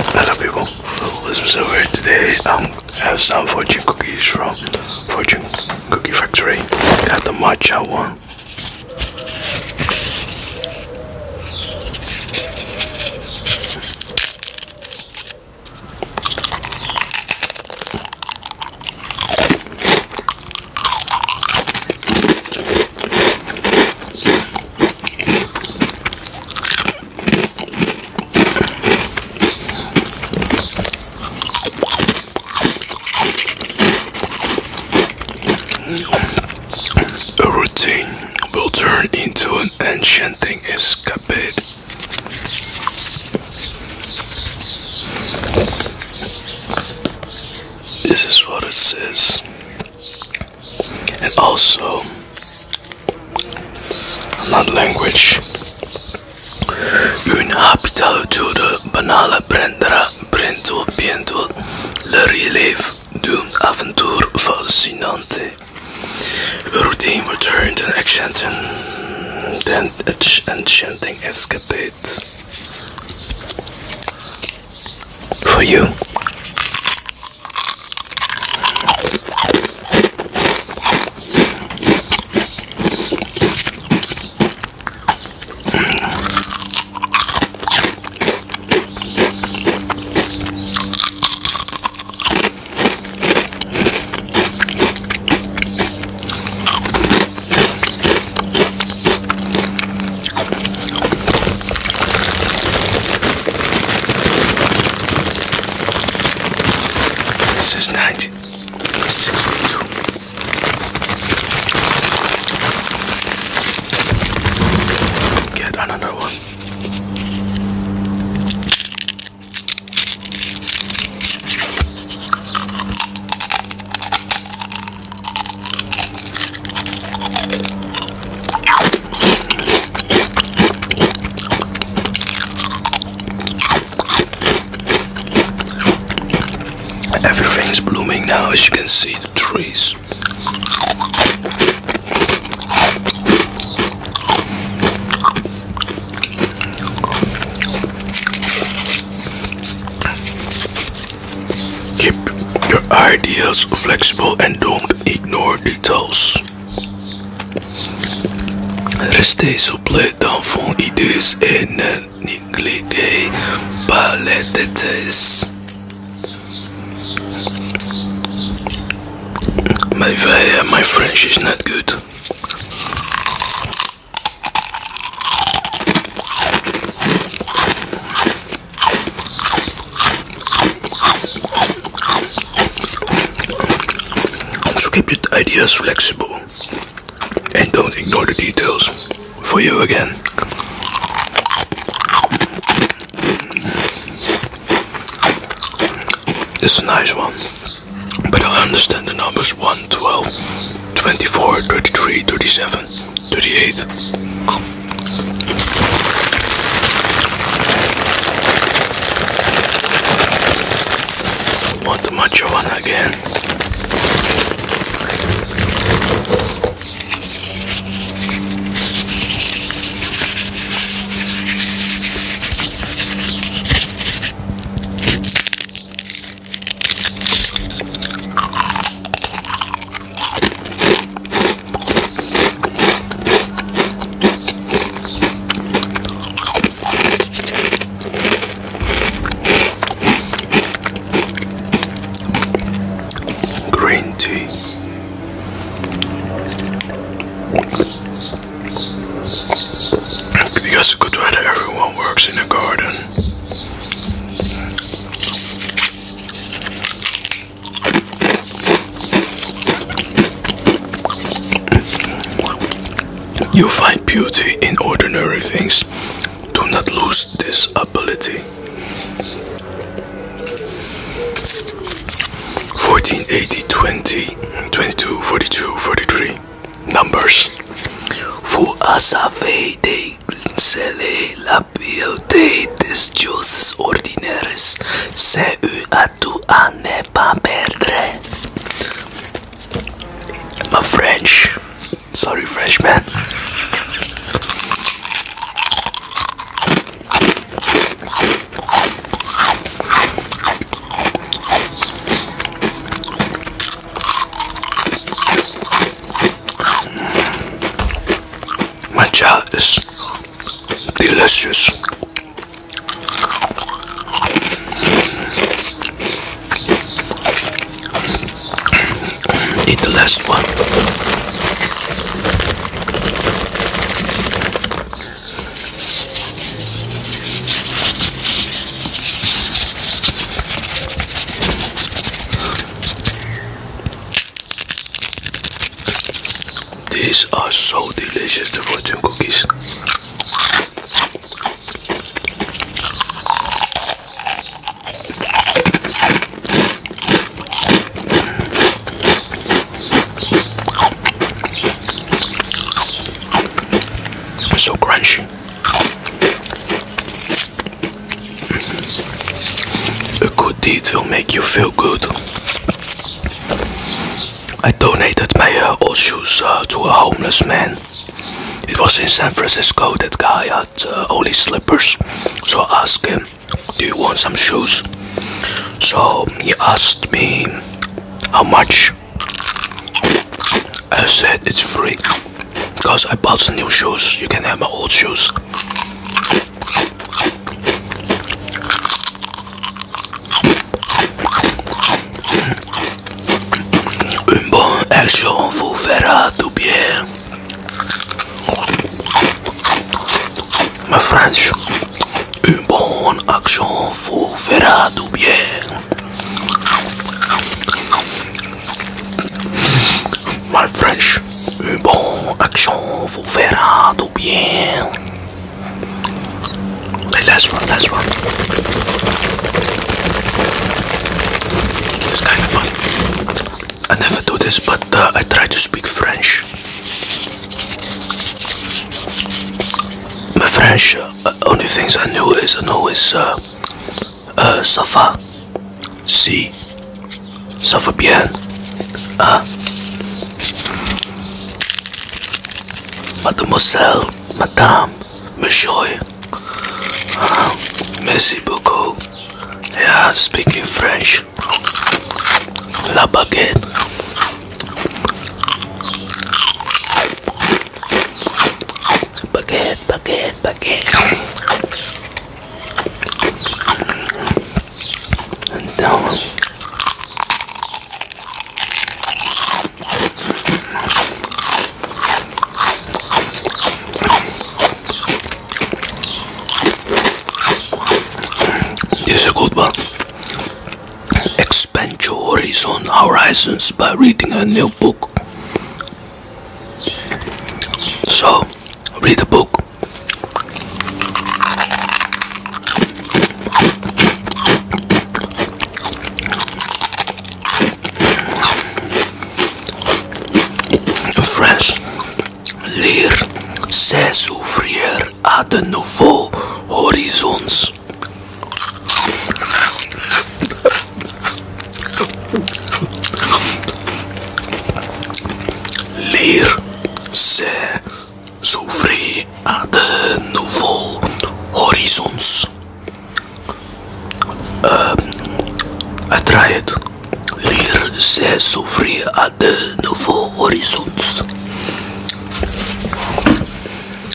Hello people, this is over today. Um, I have some fortune cookies from Fortune Cookie Factory. Got the matcha one. A routine will turn into an enchanting escapade. This is what it says and also not language. Un habitatude banale prendra bientôt bientôt le relief d'une aventure fascinante. routine returned an enchanting, then enchanting escapade for you. This is 1962. Get another one. Everything is blooming now, as you can see, the trees. Keep your ideas flexible and don't ignore details. Restez souple dans vos idées et ne négligez détails. My, my French is not good keep your ideas flexible and don't ignore the details. For you again. this is a nice one. But I understand the numbers 1, 12, 24, 33, 37. 38. I the macho one again. Green tea. Because good weather, everyone works in the garden. You find beauty in ordinary things. Do not lose this ability. 14, 20, 22, 42, 43. Numbers. Fu asave de Reconseille la beauté des choses ordinaires. C'est eux à tout à ne pas perdre. My French. Sorry, French my Matcha is delicious. Eat the last one. These are so delicious, the fortune cookies. So crunchy. A good deed will make you feel good. I donated my uh, old shoes uh, to a homeless man. It was in San Francisco that guy had uh, only slippers. So I asked him, Do you want some shoes? So he asked me how much I said it's free because I bought some new shoes. You can have my old shoes. Un bon action fera du bien. My French. Un bon action fera du bien. My French, un bon action vous fera du bien. Okay, last one, last one. It's kind of fun. I never do this, but I try to speak French. My French euh, uh, only things I knew is I know is uh, uh, Safa, Si, Safa Bien, uh, Mademoiselle, Madame, Monsieur, uh, Merci beaucoup. Yeah, speaking French. La baguette. Baguette, baguette, baguette. And down. This is good one. Expand your horizon horizons by reading a new book. So, read a book. French, lire, c'est s'ouvrir à de nouveaux horizons. Leer c'est s'ouvrir à de nouveaux horizons. Uh, uiteraard, leer c'est s'ouvrir à de nouveaux horizons.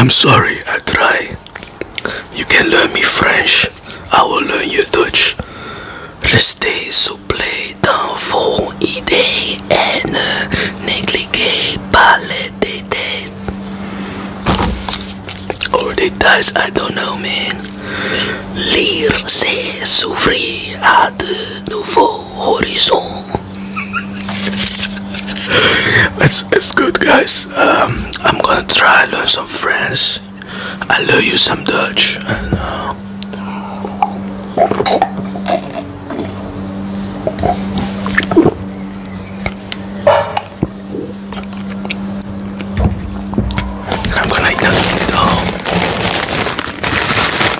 I'm sorry, I try. You can learn me French, I will learn you Dutch. Restez souple dans vos idées et ne négligez pas les détails. Or they dies, I don't know, man. Lire, se s'ouvrir à de nouveaux horizons. it's, it's good, guys. Um, I'm gonna try learn some French. I will learn you some Dutch. Uh, I'm gonna eat it all.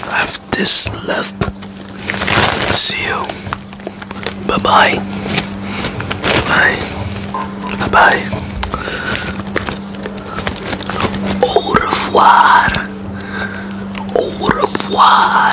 I have this left. See you. Bye bye. Bye. Bye bye. Au revoir. Au revoir.